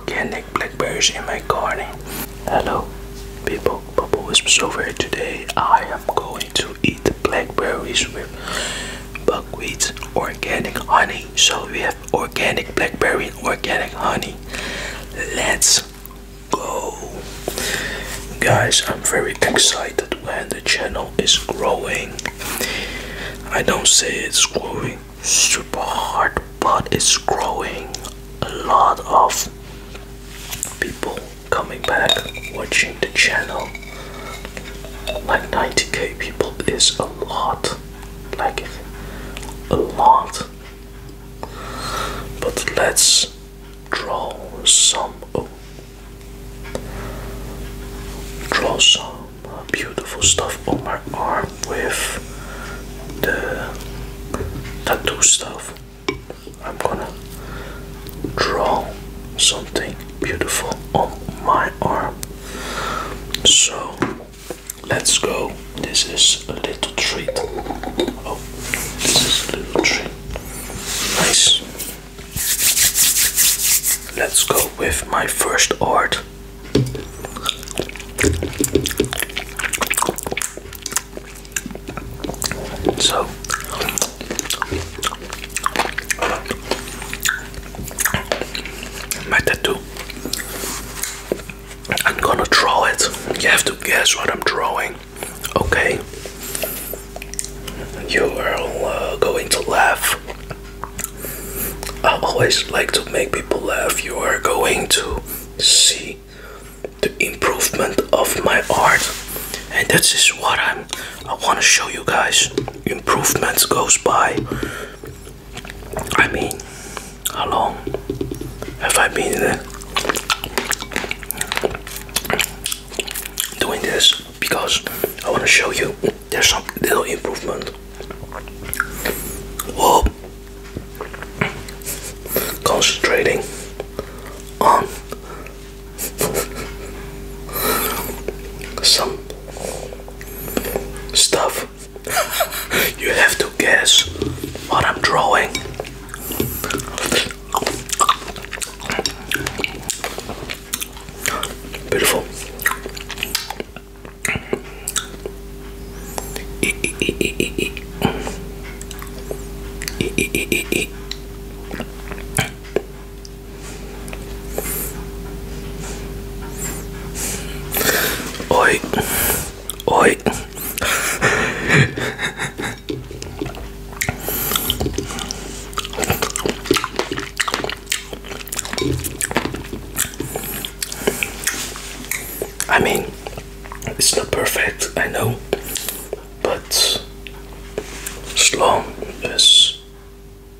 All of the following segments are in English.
organic blackberries in my garden. Hello, people. Bubble Whispers over here today. I am going to eat blackberries with buckwheat organic honey. So we have organic blackberry organic honey. Let's go. Guys, I'm very excited when the channel is growing. I don't say it's growing super hard but it's growing a lot of people coming back watching the channel like 90k people is a lot like a lot but let's draw some oh, draw some beautiful stuff on my arm with the tattoo stuff. I'm gonna draw something beautiful on my arm. So let's go. This is a little treat. Oh, this is a little treat. Nice. Let's go with my first art. So my tattoo. I'm gonna draw it. You have to guess what I'm drawing. Okay. You are uh, going to laugh. I always like to make people laugh. You are going to see the improvement of my art and that's is what I'm I want to show you guys improvements goes by I mean how long have I been uh, doing this because I want to show you there's some little improvement Whoa. Concentrating on some stuff. you have to guess what I'm drawing. Beautiful. Oi, oi. I mean, it's not perfect, I know, but as long as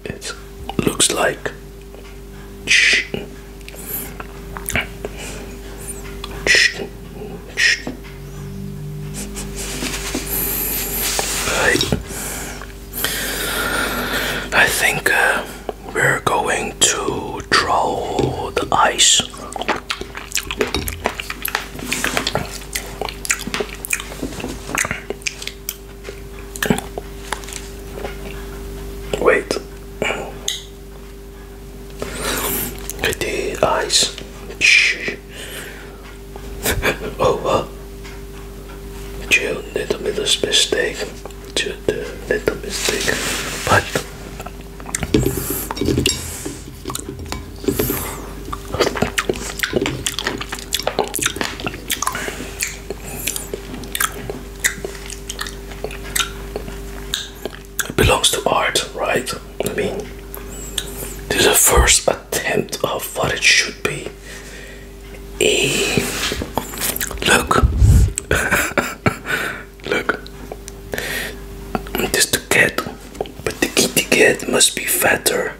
it looks like I, I think uh, we're going to draw the ice. Wait. The eyes. Shh. oh, what? Jill, little bit of mistake. Jill, little mistake. But it belongs to art, right? I mean, this is the first attempt of what it should be. Eh, look, Look, this the cat, but the kitty cat must be fatter,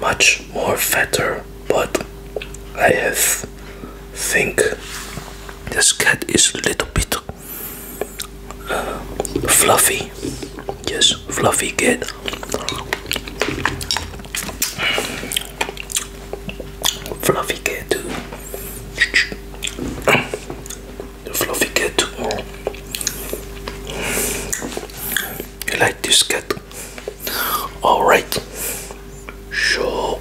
much more fatter. But I have think this cat is a little bit uh, fluffy. Yes, fluffy cat. Fluffy cat too the fluffy cat. You like this cat? Alright. So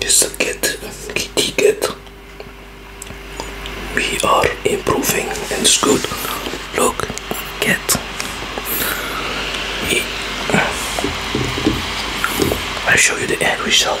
this a cat, kitty cat. We are improving it's good. Look, cat. I'll show you the end result.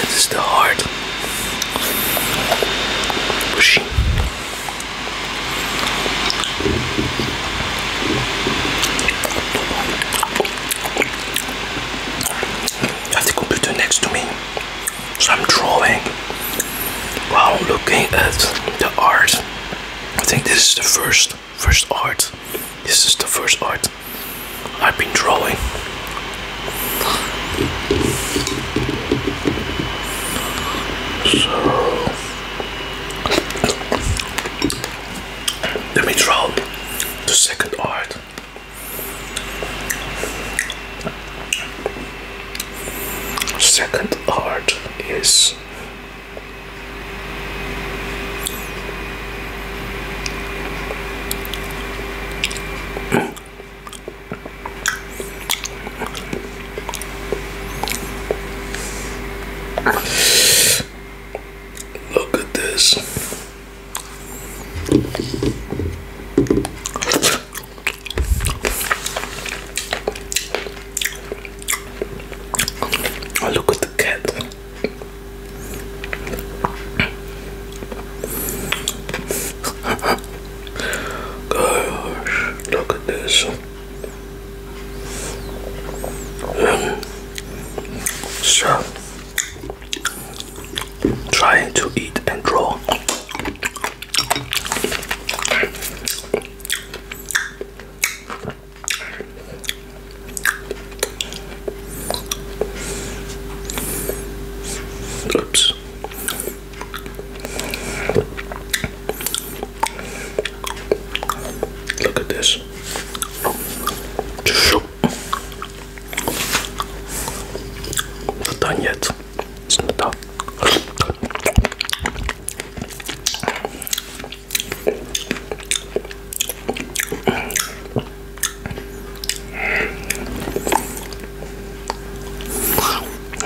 this is the heart. Pushing. I have the computer next to me. So I'm drawing while looking at the art. I think this is the first first art this is the first art I've been drawing. So let me draw the second art. Second art is Look at this. Oh, look at the cat. Gosh, look at this. Um, so, trying to eat and draw. Oops. Look at this. Not done yet. not done.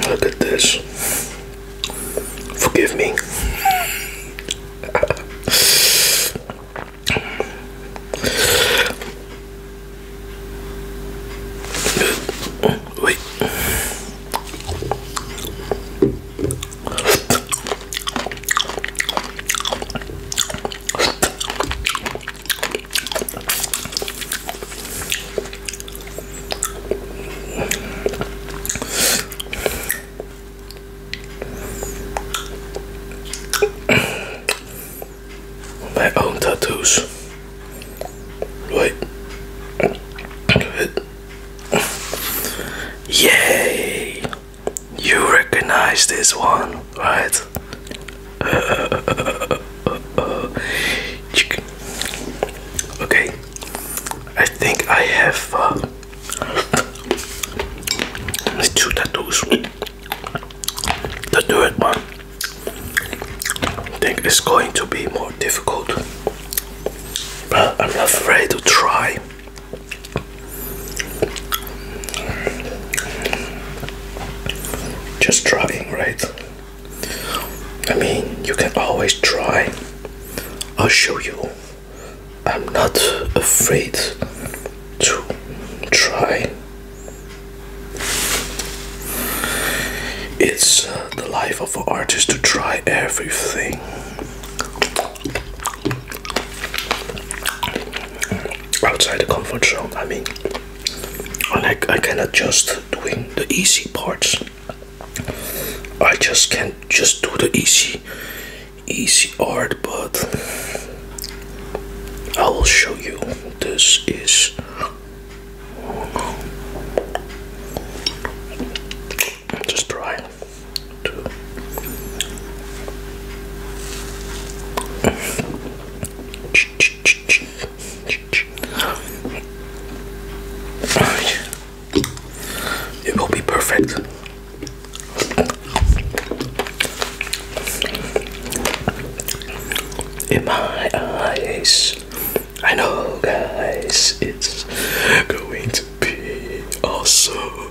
Look at this. Forgive me. Wait. My own tattoos. Right. Yay! You recognize this one, right? Uh, okay, I think I have uh, two tattoos. The third one, think, is going to be more difficult, but I'm not afraid to try. Just trying, right? I mean, you can always try. I'll show you. I'm not afraid to try. It's uh, the life of an artist to try everything outside the comfort zone. I mean, I, I cannot just doing the easy parts. I just can't just do the easy, easy art, but I will show you. This is. Just try it will be perfect. In my eyes, I know, guys, it's going to be awesome.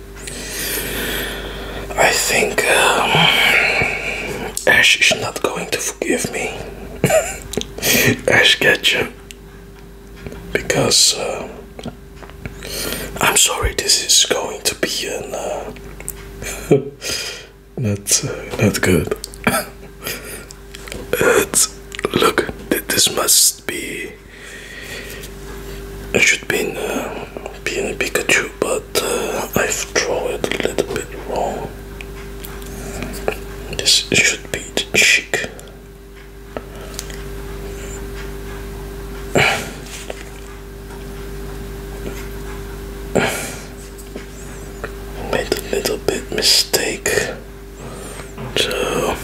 I think um, Ash is not going to forgive me. Ash Ketchum. Because uh, I'm sorry, this is going to be an. Uh, not, uh, not good. look, this must be. It should be. Uh, being a Pikachu, but uh, I've drawn it a little bit wrong. This should be the chick. Made a little bit mistake. So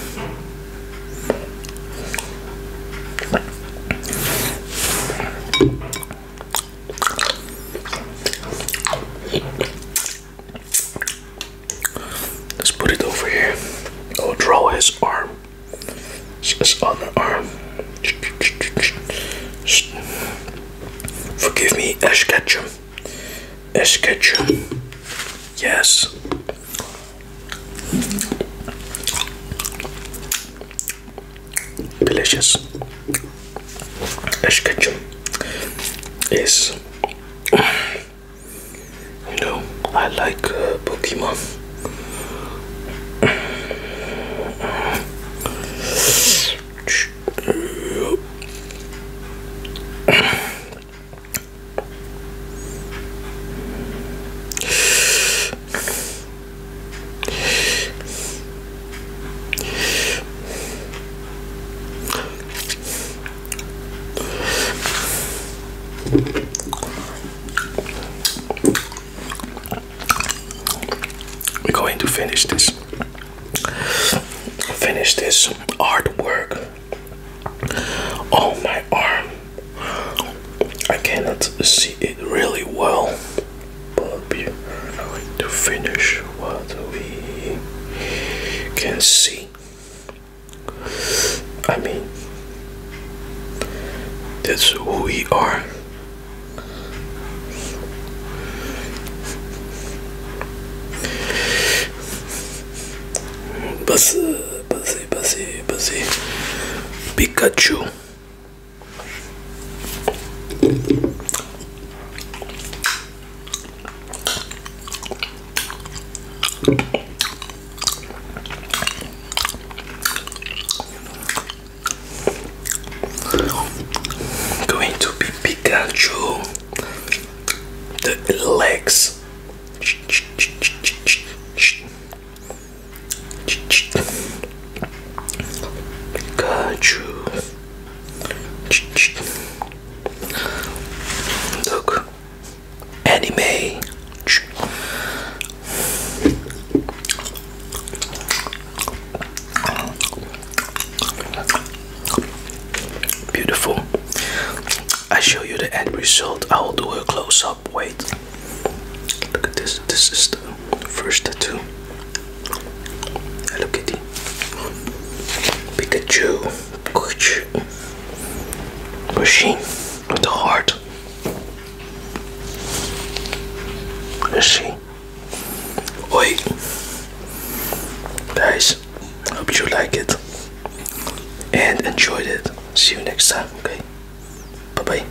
Let's put it over here. Oh, draw his arm. His other arm. Forgive me, Ash Ketchum. Ash Ketchum. Yes delicious. Ash ketchup is, you know, I like uh, Pokemon. We're going to finish this. Finish this artwork on my arm. I cannot see it really well, but we are going to finish what we can see. I mean, that's who we are. Buzz, Buzzy, Buzzy, Buzzy, Pikachu. Going to be Pikachu. The legs. Got you. Look, anime. Beautiful. I show you the end result. I will do a close up. Wait. Look at this. This is the first tattoo. Hello Kitty. Pikachu. Pikachu. Machine with the heart. Let's see. Oi. Guys, hope you like it and enjoyed it. See you next time, okay? Bye bye.